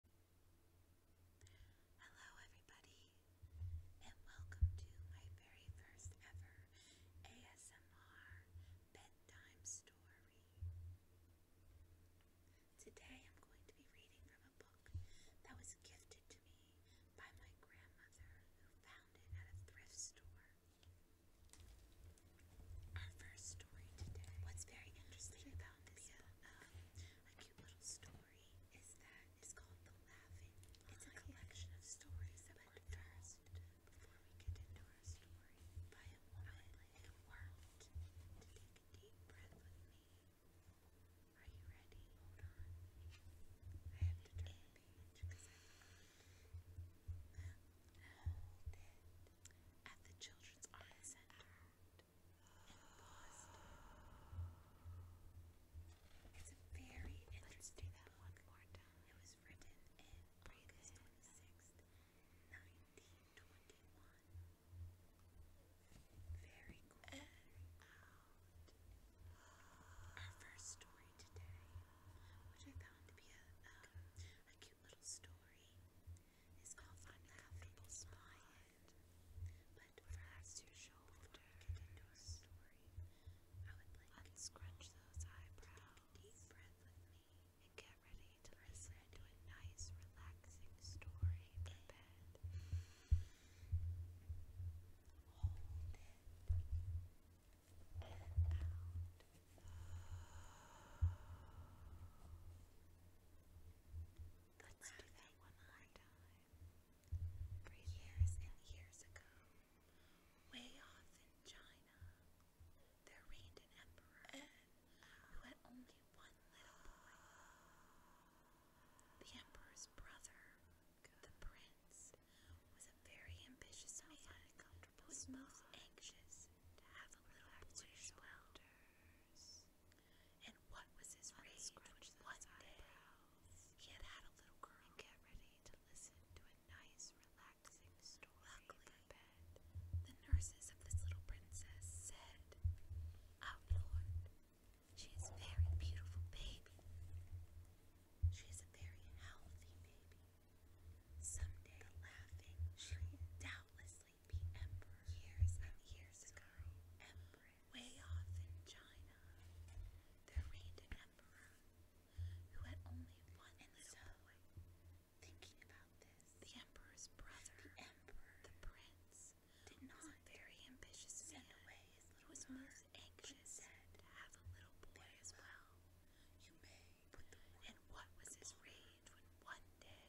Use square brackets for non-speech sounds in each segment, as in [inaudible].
Hello, everybody, and welcome to my very first ever ASMR bedtime story. Today I'm going to be reading from a book that was gifted to me by my grandmother who found it at a thrift store. Our first story today. What's very interesting about this um, cute little story is that it's called The Laughing. It's a collection of stories that first, before we get into our story, by a woman who worked. To take a deep breath with me. Are you ready? Hold on. I have to turn the page because At the Children's Art Center, and It's a very interesting Let's do that one more time. It was written in August 26th, 1921. Very cool. Our first story today, which I found to be a, um, a cute little story is called find a comfortable spot. But perhaps your shoulder get into a story. I would like unscrunch those eyebrows. Take and get ready to listen to a nice, relaxing story for bed. Hold it and out. Let's do that one more time. For years and years ago, way off in China, there reigned an emperor who had only one little boy. The emperor's brother, the prince, was a very ambitious man who was most anxious to have a little boy and what was his rage when one day he had had a little girl and get ready to listen to a nice, relaxing story Luckily, for bed. The nurses of this little princess said, Oh Lord, she is a very beautiful baby. She is a very healthy baby. Someday, laughing, she will doubtless years and years ago. way off in China, there reigned an emperor who had only one little boy. Thinking about this, the emperor's brother, the emperor, the prince, did not very ambitious send man. away his was most anxious to have a little boy as well. You may, and what was his rage when one day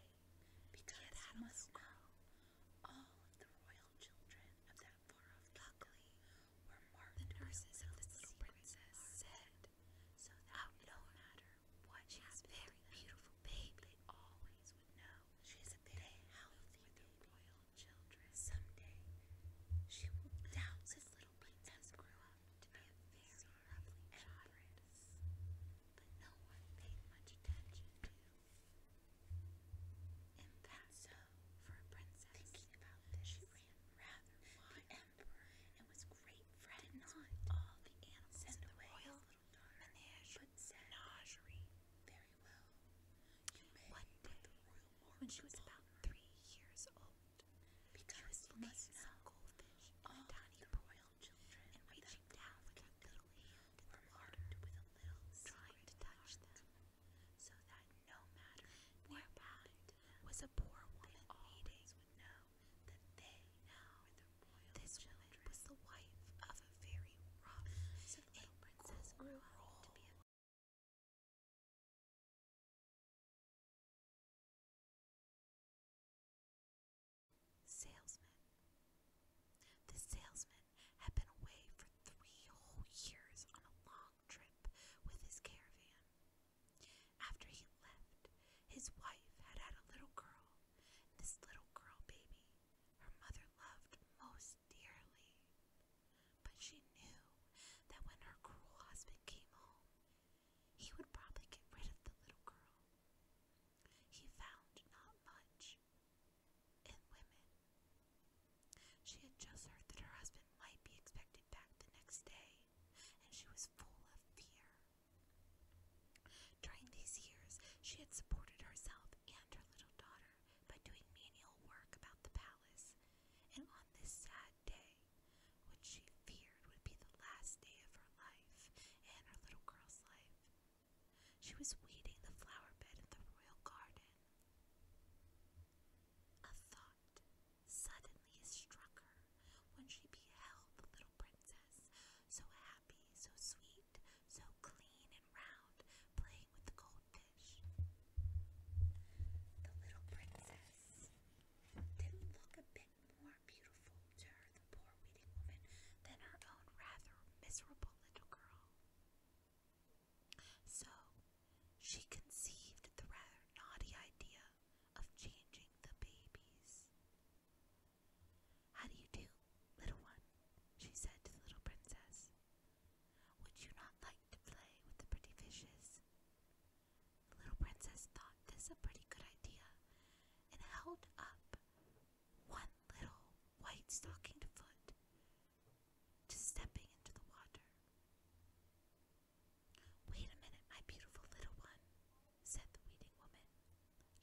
because yes, must go. all of the royal children of that far-off luckily were marked the nurses of the little princess said, so that no matter what she has very beautiful baby, always would know she is a very healthy royal children. Someday, she will doubtless little princess grow up to be very rumbling genres that no one paid much attention to. And for a princess, thinking about this, she ran rather wide. emperor and was great friends with all the animals in the royal menagerie. Very well. You may One day, the royal when she was about three years old, because she was you must some goldfish in a tiny royal little children reaching down with a little hand in the with a little trying to touch them, so that no matter where behind was a poor woman eating would know that they This children. was the wife of a very rough so the princess grew up to be a Salesman. The salesman had been away for three whole years on a long trip with his caravan. After he left, his wife had had a little girl, this little girl baby her mother loved most dearly. But she knew that when her cruel husband came home, he would probably get rid of the little girl he found not much in women. She had just heard that her husband might be expected back the next day, and she was full of fear. During these years, she had supported herself and her little daughter by doing menial work about the palace, and on this sad day, which she feared would be the last day of her life and her little girl's life. She was weeding the flower bed in the royal garden. A thought suddenly struck her when she beheld the little princess, so happy, so sweet, so clean and round, playing with the goldfish. The little princess didn't look a bit more beautiful to her, the poor weedy woman, than her own rather miserable little girl. So she conceived the rather naughty idea of changing the babies. How do you do, little one? she said to the little princess. Would you not like to play with the pretty fishes? The little princess thought this a pretty good idea, and held up one little white stocking foot to stepping into the water. Wait a minute, my beautiful little one, said the weeding woman.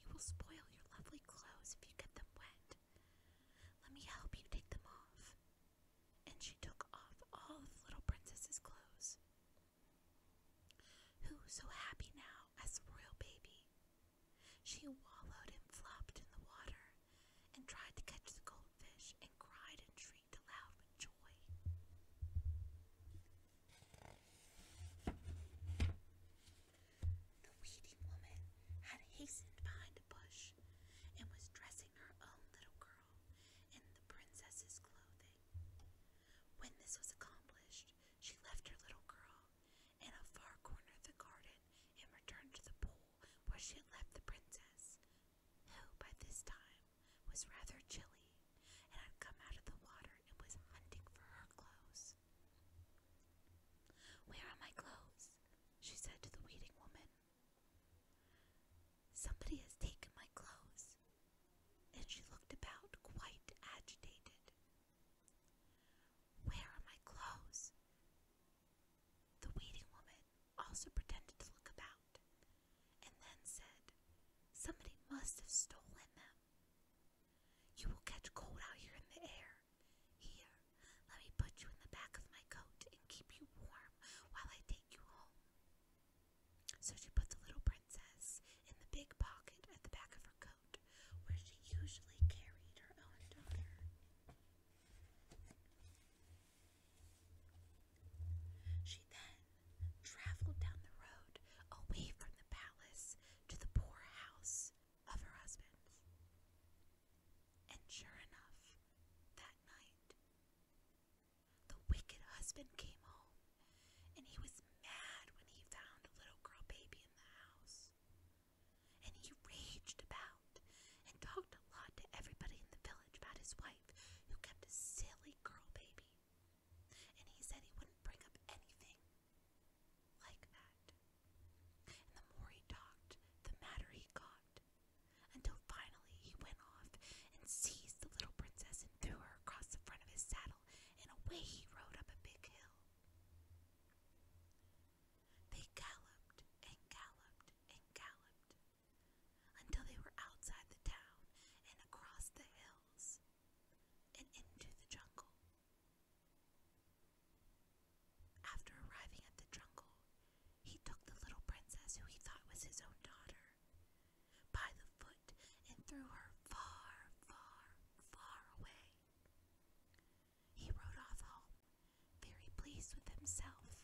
You will spoil your lovely clothes if you get them wet. Let me help you take them off. And she took off all of the little princess's clothes. Who so happy now as the royal baby? She wallowed and flopped in the water and tried to catch the goldfish and cried and shrieked aloud with joy. The weeding woman had hastened behind a bush and was dressing her own little girl in the princess's clothing. When this was accomplished, she left her little girl in a far corner of the garden and returned to the pool where she had left the princess, who by this time was rather chilly and had come out of the water and was hunting for her clothes. Where are my clothes? she said to the waiting woman. Somebody has taken my clothes, and she looked about quite agitated. Where are my clothes? The weeding woman also pretended to look about, and then said, Somebody must have stolen them. You will catch cold out here in the air. Here, let me put you in the back of my coat and keep you warm while I take you home. So she put the little princess in the big pocket at the back of her coat, where she usually carried her own daughter. She then traveled down the road away from the palace to the poor house of her husband. And sure enough, that night, the wicked husband came home. And he was mad when he found a little girl baby in the house. And he raged about and talked a lot to everybody in the village about his wife who kept a silly girl baby. And he said he wouldn't bring up anything like that. And the more he talked, the madder he got. Until finally he went off and seized the little princess and threw her across the front of his saddle and away he rode up a big hill. They galloped and galloped and galloped until they were outside the town and across the hills and into the jungle. After arriving at the jungle, he took the little princess who he thought was his own daughter by the foot and threw her far, far, far away. He rode off home, very pleased with himself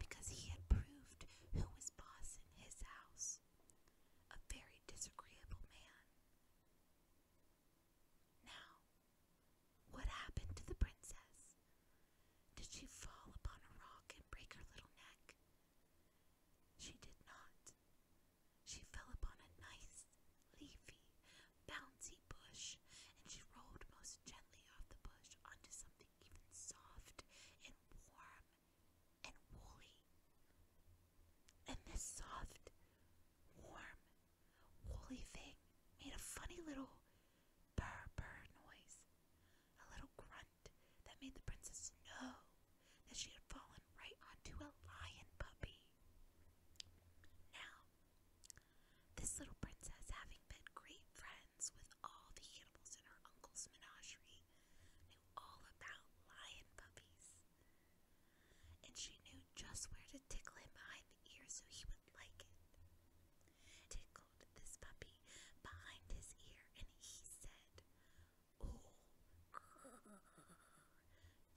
because he had proved who was boss in his house, a very disagreeable man. Now, what happened to the princess? Did she fall upon a rock and break her little neck? She did not. She fell upon a nice, leafy, bouncy bush, and she rolled most gently off the bush onto something even soft and warm and woolly. And this soft, warm, woolly thing made a funny little burr burr noise, a little grunt that made the princess know that she had fallen right onto a lion puppy. Now, this little princess, having been great friends with all the animals in her uncle's menagerie, knew all about lion puppies. And she knew just where to tickle him behind the ear so he would like it. Tickled this puppy behind his ear, and he said, Oh,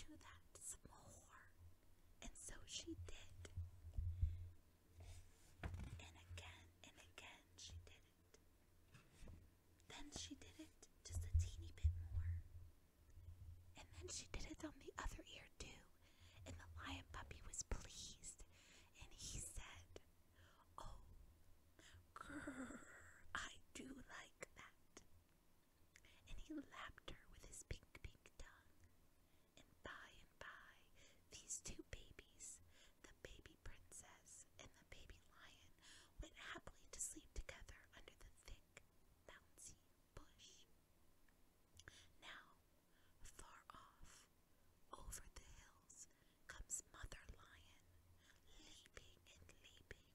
do that some more. And so she did. And again and again she did it. Then she did it just a teeny bit more. And then she did it on the other ear too. And the lion puppy was pleased. And he said, Oh, grrr, I do like that. And he lapped her with his pink, pink tongue. And by and by, these two babies, the baby princess and the baby lion, went happily to sleep together under the thick, bouncy bush. Now, far off, over the hills, comes Mother Lion, leaping and leaping.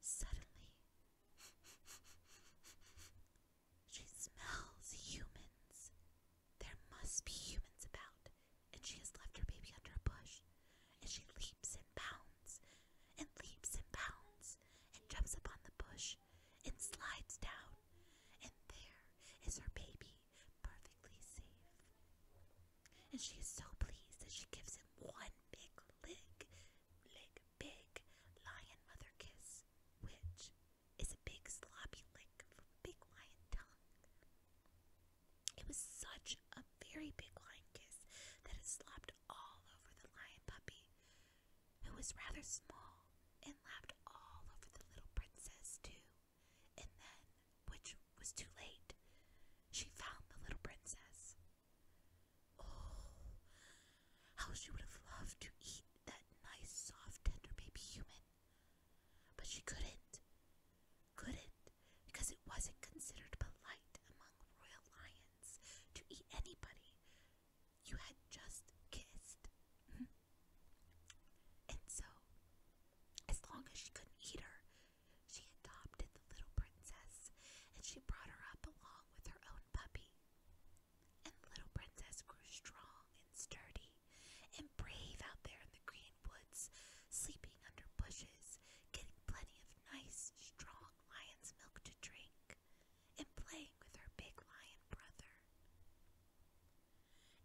Suddenly, [laughs] she smells humans. There must be humans about, and she has left her baby under a bush. And she leaps and bounds, and leaps and bounds, and jumps upon the bush, and slides down. And there is her baby, perfectly safe and she is so pleased that she gives him one big lick, lick, big lion mother kiss, which is a big sloppy lick from Big Lion Tongue. It was such a very big lion kiss that it slopped all over the lion puppy, who was rather small and lapped all over the little princess, too and then, which was too late, she found the little princess. Oh, how she would have loved to eat that nice, soft, tender baby human. But she couldn't. Couldn't, because it wasn't considered polite among royal lions to eat anybody you had just kissed. and so, as long as she couldn't eat her, she adopted the little princess, and she brought her up along with her own puppy. And the little princess grew strong and sturdy and brave out there in the green woods, sleeping under bushes, getting plenty of nice, strong lion's milk to drink, and playing with her big lion brother.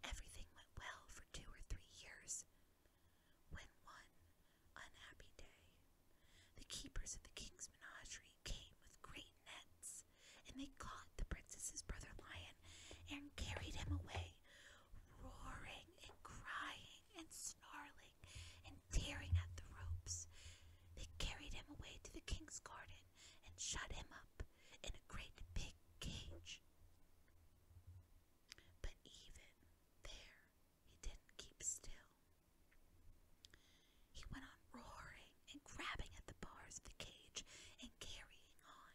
Everything went well for two or three years. When one unhappy day, the keepers of the king's menagerie came with great nets, and they caught the princess's brother lion and carried him away, roaring and crying and snarling and tearing at the ropes. They carried him away to the king's garden and shut him up in a great big cage. But even there, he didn't keep still. He went on roaring and grabbing at the bars of the cage and carrying on.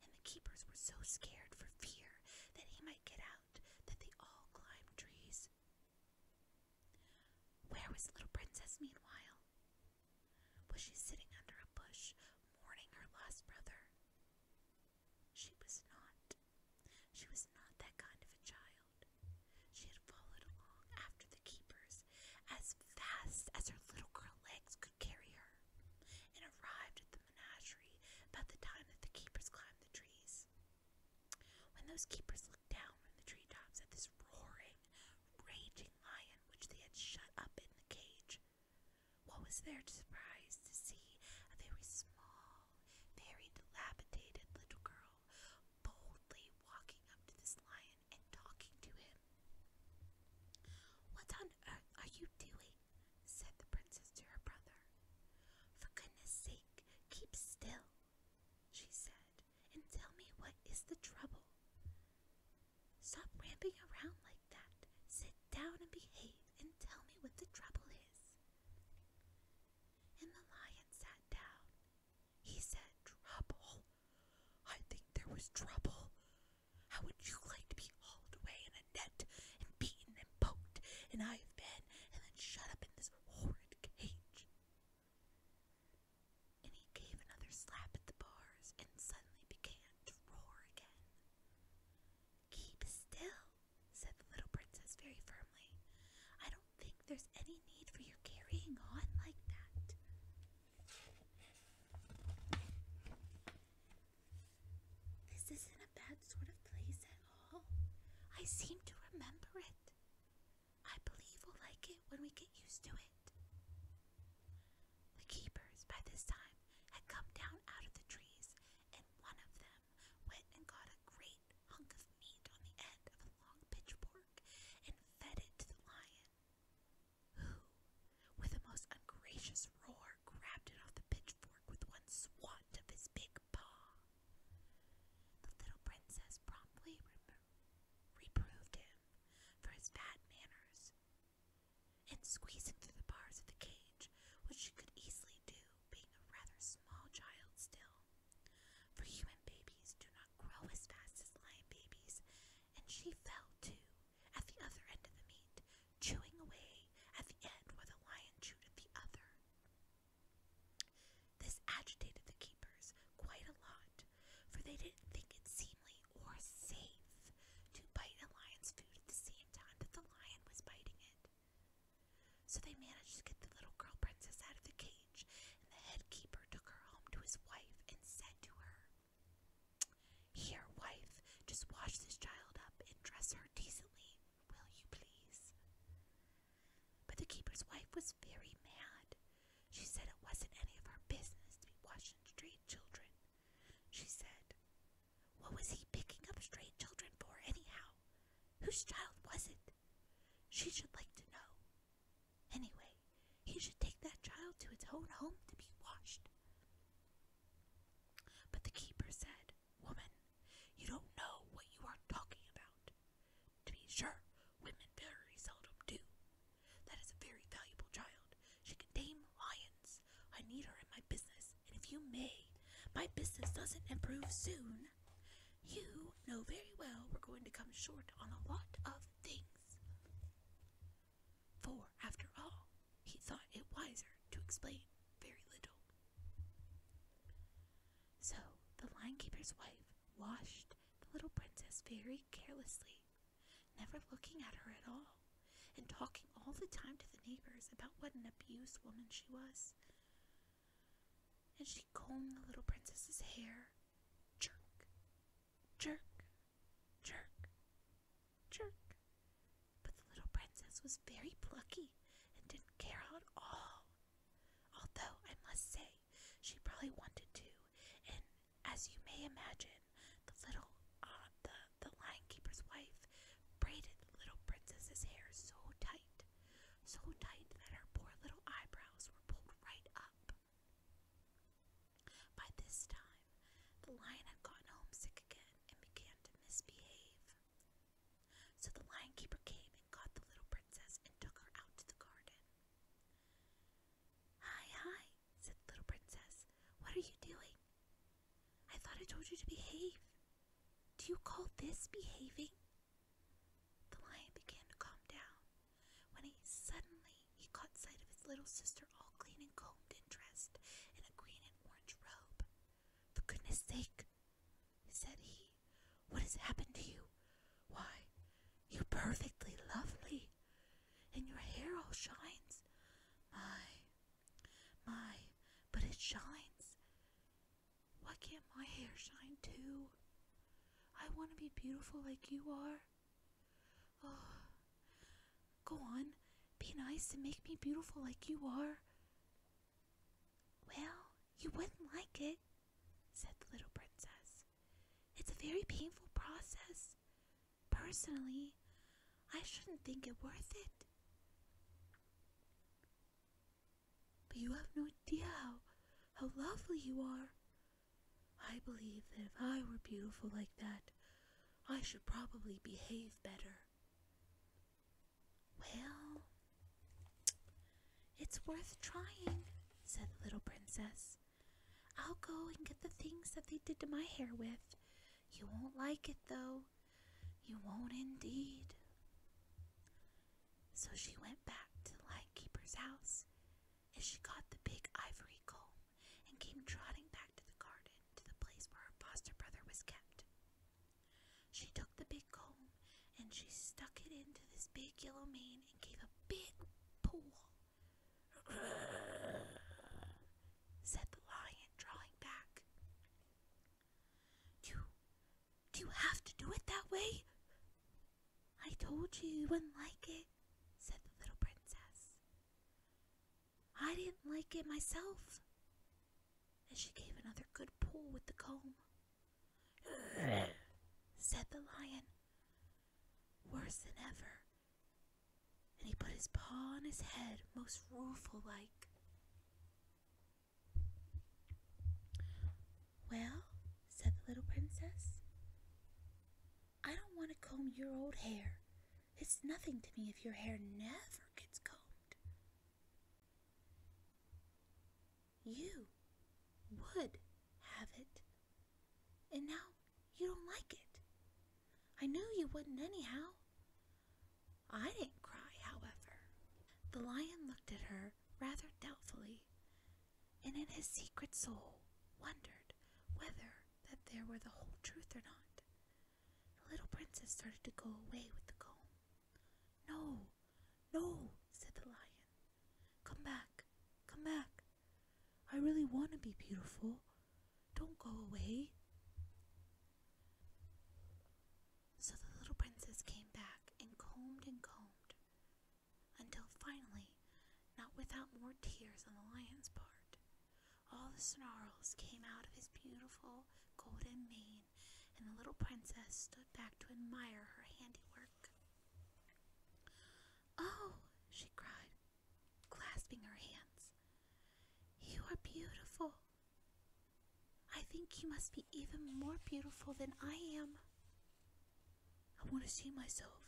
And the keepers were so scared for fear that he might get out that they all climbed trees. Where was little Princess meanwhile? Was she sitting under a bush mourning her lost brother? She was not. She was not that kind of a child. She had followed along after the keepers as fast as her little girl legs could carry her, and arrived at the menagerie about the time that the keepers climbed the trees. When those keepers looked down from the treetops at this roaring, raging lion which they had shut up in the cage, what was their surprise to see a very small, very dilapidated little girl boldly walking up to this lion and talking to him. What on earth are you doing? said the princess to her brother. For goodness sake, keep still, she said, and tell me what is the trouble. Stop ramping around like that. Sit down and behave and tell me what the trouble is. And the lion sat down. He said, Trouble? I think there was trouble. How would you like to be hauled away in a net and beaten and poked, and I have been, and then shut up in this horrid cage? And he gave another slap at the bars and suddenly began to roar again. Keep still, said the little princess very firmly. I don't think there's any need for your carrying on like that. This isn't a bad sort of place at all. I seem to remember it. I believe we'll like it when we get used to it. The keepers, by this time, had come down out of the trees, and one of them went and got a great hunk of meat on the end of a long pitchfork and fed it to the lion, who, with a most ungracious roar, grabbed it off the pitchfork with one swat of his big paw. The little princess promptly reproved him for his bad manners, and squeezing through the bars of the cage, which she could easily do, being a rather small child still. For human babies do not grow as fast as lion babies, and she fell too at the other end of the meat, chewing away at the end where the lion chewed at the other. This agitated the keepers quite a lot, for they didn't think it seemly or safe to bite a lion's food at the same time that the lion was biting it. So they managed to get the little girl princess out of the cage, and the head keeper took her home to his wife and said to her, Here, wife, just wash this child up and dress her decently, will you please? But the keeper's wife was very mad. She said it wasn't any of her business to be washing stray children. She said, what was he picking up stray children for, anyhow? Whose child was it? She should like to know. Anyway, he should take that child to its own home to be washed. But the keeper said, Woman, you don't know what you are talking about. To be sure, women very seldom do. That is a very valuable child, she can tame lions. I need her in my business, and if you may, my business doesn't improve soon. You know very well we're going to come short on a lot of things. For, after all, he thought it wiser to explain very little. So the linekeeper's wife washed the little princess very carelessly never looking at her at all, and talking all the time to the neighbors about what an abused woman she was. And she combed the little princess's hair. Jerk, jerk, jerk, jerk. But the little princess was very plucky and didn't care at all. Although, I must say, she probably wanted to, and as you may imagine, the little uh, the the lion keeper's wife braided the little princess's hair so tight, so tight that her poor little eyebrows were pulled right up. By this time, the lion had gotten homesick again and began to misbehave. So the lion keeper came and got the little princess and took her out to the garden. Hi, hi, said the little princess. What are you doing? I thought I told you to behave. Do you call this behaving? The lion began to calm down when he suddenly he caught sight of his little sister all clean and combed and dressed in a green and orange robe. For goodness sake, said he, what has happened to you? Why, you're perfectly lovely and your hair all shines. My, my, but it shines. Why can't my hair shine too? I want to be beautiful like you are. Oh, go on, be nice and make me beautiful like you are. Well, you wouldn't like it, said the little princess. It's a very painful process. Personally, I shouldn't think it worth it. But you have no idea how, how lovely you are. I believe that if I were beautiful like that, I should probably behave better. Well, it's worth trying, said the little princess. I'll go and get the things that they did to my hair with. You won't like it though. You won't indeed. So she went back to the keeper's house, and she got the big ivory comb and came trotting back to the garden to the place where her foster brother was kept. She took the big comb and she stuck it into this big yellow mane and gave a big pull. [sighs] said the lion, drawing back. you, do you have to do it that way? I told you you wouldn't like it, said the little princess. I didn't like it myself. And she gave another good pull with the comb. [sighs] said the lion, worse than ever and he put his paw on his head, most rueful like. Well, said the little princess, I don't want to comb your old hair. It's nothing to me if your hair never gets combed. You would have it, and now you don't like it. I knew you wouldn't, anyhow. I didn't cry, however. The lion looked at her rather doubtfully, and in his secret soul wondered whether that there were the whole truth or not. The little princess started to go away with the comb. No, no, said the lion. Come back, come back. I really want to be beautiful. Don't go away. So the little princess came back and combed and combed until finally, not without more tears on the lion's part, all the snarls came out of his beautiful golden mane, and the little princess stood back to admire her handiwork. Oh, she cried, clasping her hands. You are beautiful. I think you must be even more beautiful than I am. I want to see myself,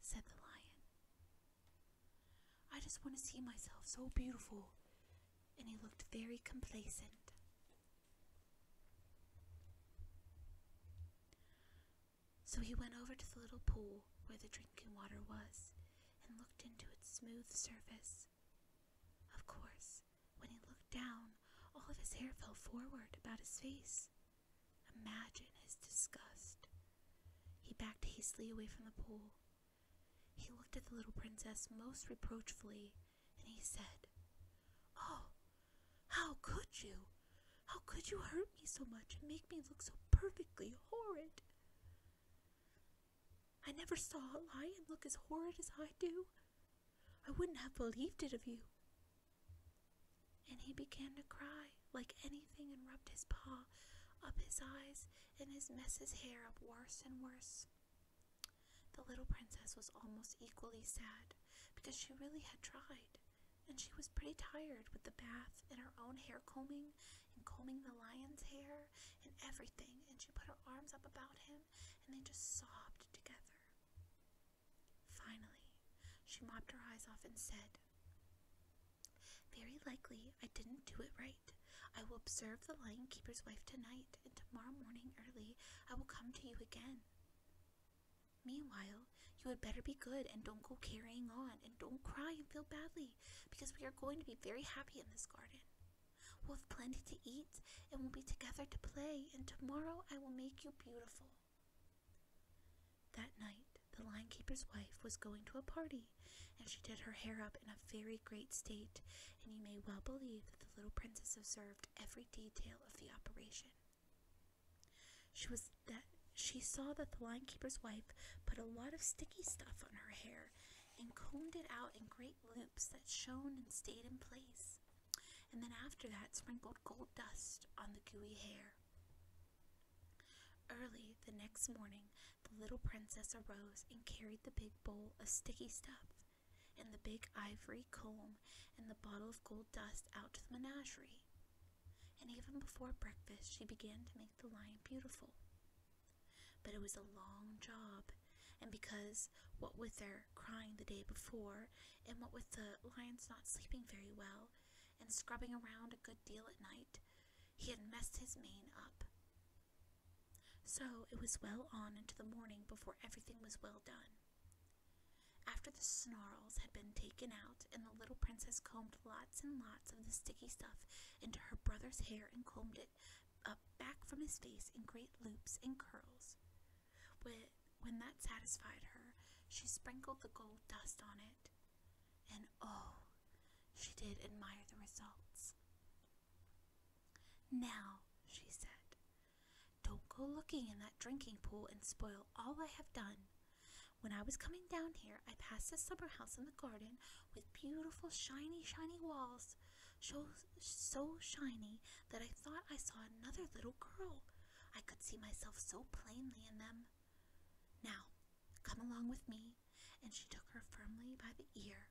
said the lion. I just want to see myself so beautiful. And he looked very complacent. So he went over to the little pool where the drinking water was and looked into its smooth surface. Of course, when he looked down, all of his hair fell forward about his face. Imagine his disgust. He backed hastily away from the pool. He looked at the little princess most reproachfully, and he said, Oh, how could you? How could you hurt me so much and make me look so perfectly horrid? I never saw a lion look as horrid as I do. I wouldn't have believed it of you. And he began to cry like anything and rubbed his paw up his eyes and his messes hair up worse and worse. The little princess was almost equally sad because she really had tried and she was pretty tired with the bath and her own hair combing and combing the lion's hair and everything, and she put her arms up about him and they just sobbed together. Finally, she mopped her eyes off and said, Very likely I didn't do it right. I will observe the lion keeper's wife tonight, and tomorrow morning early I will come to you again. Meanwhile, you. had better be good and don't go carrying on and don't cry and feel badly because we are going to be very happy in this garden. We'll have plenty to eat and we'll be together to play, and tomorrow I will make you beautiful. That night, the lion keeper's wife was going to a party, and she did her hair up in a very great state, and you may well believe that the little princess observed every detail of the operation. She was that she saw that the keeper's wife put a lot of sticky stuff on her hair and combed it out in great loops that shone and stayed in place, and then after that sprinkled gold dust on the gooey hair. Early the next morning, the little princess arose and carried the big bowl of sticky stuff, and the big ivory comb, and the bottle of gold dust out to the menagerie and even before breakfast she began to make the lion beautiful. But it was a long job, and because what with their crying the day before, and what with the lion's not sleeping very well, and scrubbing around a good deal at night, he had messed his mane up. So it was well on into the morning before everything was well done. After the snarls had been taken out and the little princess combed the and lots of the sticky stuff into her brother's hair and combed it up back from his face in great loops and curls. When that satisfied her, she sprinkled the gold dust on it. And oh, she did admire the results. Now, she said, don't go looking in that drinking pool and spoil all I have done. When I was coming down here, I passed a summer house in the garden with beautiful, shiny, shiny walls, so, shiny that I thought I saw another little girl. I could see myself so plainly in them. Now, come along with me. And she took her firmly by the ear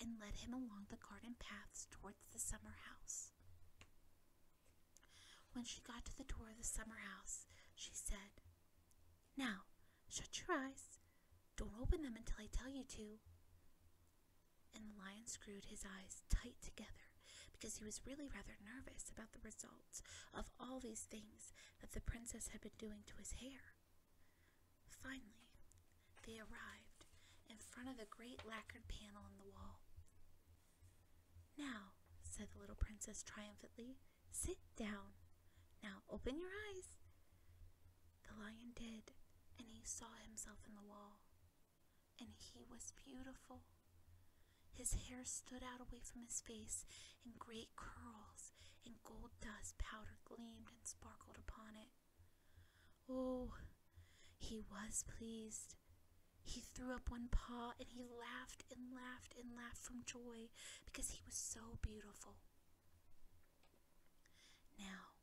and led him along the garden paths towards the summer house. When she got to the door of the summer house, she said, Now, shut your eyes. Don't open them until I tell you to. And the lion screwed his eyes tight together because he was really rather nervous about the results of all these things that the princess had been doing to his hair. Finally, they arrived in front of the great lacquered panel in the wall. Now, said the little princess triumphantly, Sit down. Now open your eyes. The lion did, and he saw himself in the wall. And he was beautiful. His hair stood out away from his face in great curls, and gold dust powder gleamed and sparkled upon it. Oh, he was pleased. He threw up one paw and he laughed and laughed and laughed from joy because he was so beautiful. Now,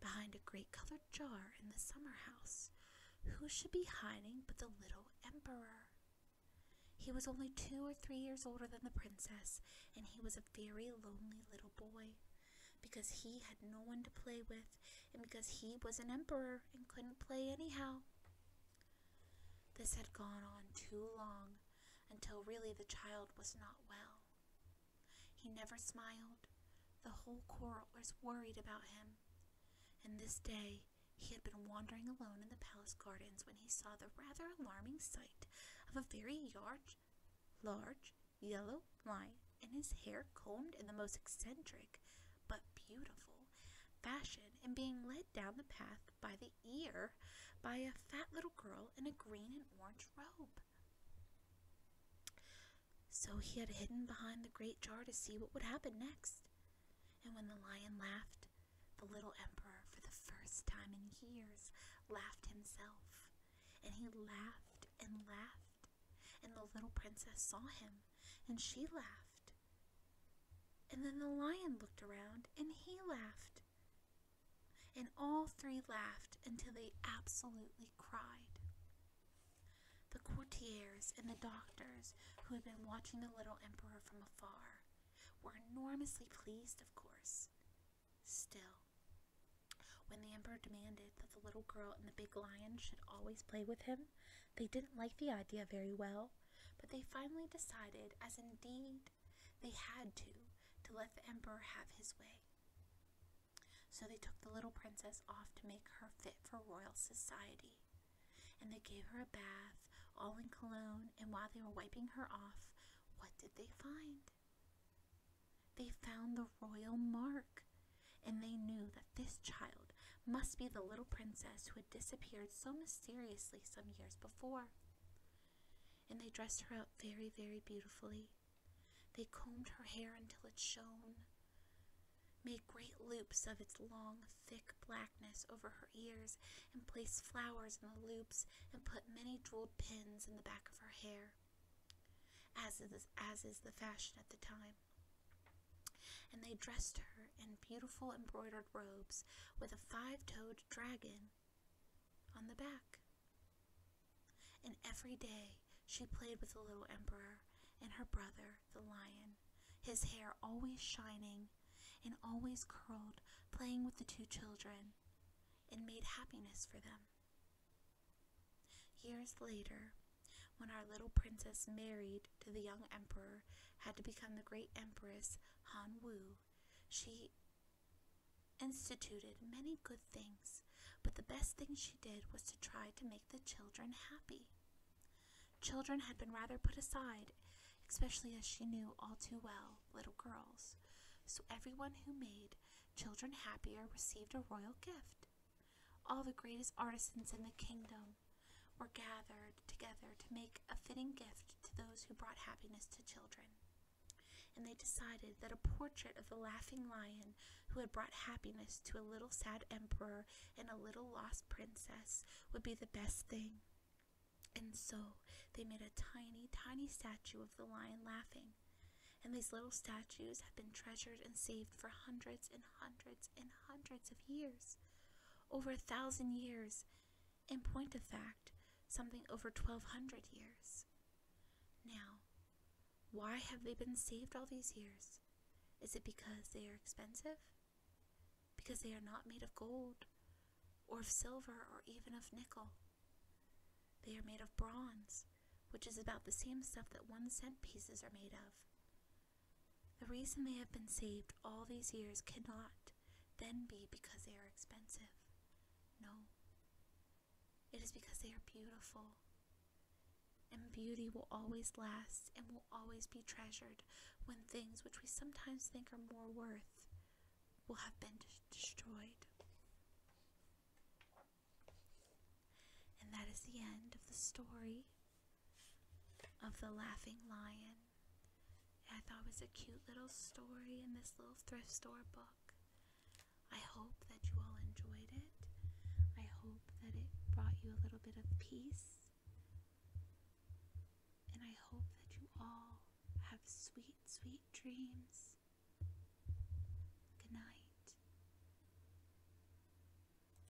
behind a great colored jar in the summer house, who should be hiding but the little emperor? He was only two or three years older than the princess, and he was a very lonely little boy because he had no one to play with and because he was an emperor and couldn't play anyhow. This had gone on too long until really the child was not well. He never smiled. The whole court was worried about him. And this day he had been wandering alone in the palace gardens when he saw the rather alarming sight of a very large, large yellow lion and his hair combed in the most eccentric but beautiful fashion and being led down the path by the ear by a fat little girl in a green and orange robe. So he had hidden behind the great jar to see what would happen next. And when the lion laughed, the little emperor, for the first time in years, laughed himself. And he laughed and laughed, and the little princess saw him, and she laughed. And then the lion looked around and he laughed. And all three laughed until they absolutely cried. The courtiers and the doctors, who had been watching the little emperor from afar, were enormously pleased, of course. Still, when the emperor demanded that the little girl and the big lion should always play with him, they didn't like the idea very well, but they finally decided, as indeed they had to, to let the emperor have his way. So they took the little princess off to make her fit for royal society. And they gave her a bath, all in cologne, and while they were wiping her off, what did they find? They found the royal mark, and they knew that this child must be the little princess who had disappeared so mysteriously some years before. And they dressed her up very, very beautifully. They combed her hair until it shone, made great loops of its long, thick blackness over her ears, and placed flowers in the loops, and put many jeweled pins in the back of her hair, as is, as is the fashion at the time. And they dressed her in beautiful embroidered robes with a five toed dragon on the back. And every day she played with the little emperor and her brother, the lion, his hair always shining and always curled, playing with the two children, and made happiness for them. Years later, when our little princess married to the young emperor, had to become the great empress Han Wu, she instituted many good things, but the best thing she did was to try to make the children happy. Children had been rather put aside, especially as she knew all too well little girls, so everyone who made children happier received a royal gift. All the greatest artisans in the kingdom were gathered together to make a fitting gift to those who brought happiness to children. And they decided that a portrait of the laughing lion who had brought happiness to a little sad emperor and a little lost princess would be the best thing. And so they made a tiny, tiny statue of the lion laughing. And these little statues have been treasured and saved for hundreds and hundreds in hundreds of years, over a thousand years, in point of fact, something over 1200 years. Now, why have they been saved all these years? Is it because they are expensive? Because they are not made of gold, or of silver, or even of nickel. They are made of bronze, which is about the same stuff that one cent pieces are made of. The reason they have been saved all these years cannot then be because they are expensive. No. It is because they are beautiful. And beauty will always last and will always be treasured when things which we sometimes think are more worth will have been destroyed. And that is the end of the story of the Laughing Lion. I thought it was a cute little story in this little thrift store book. I hope that you all enjoyed it. I hope that it brought you a little bit of peace. And I hope that you all have sweet, sweet dreams. Good night.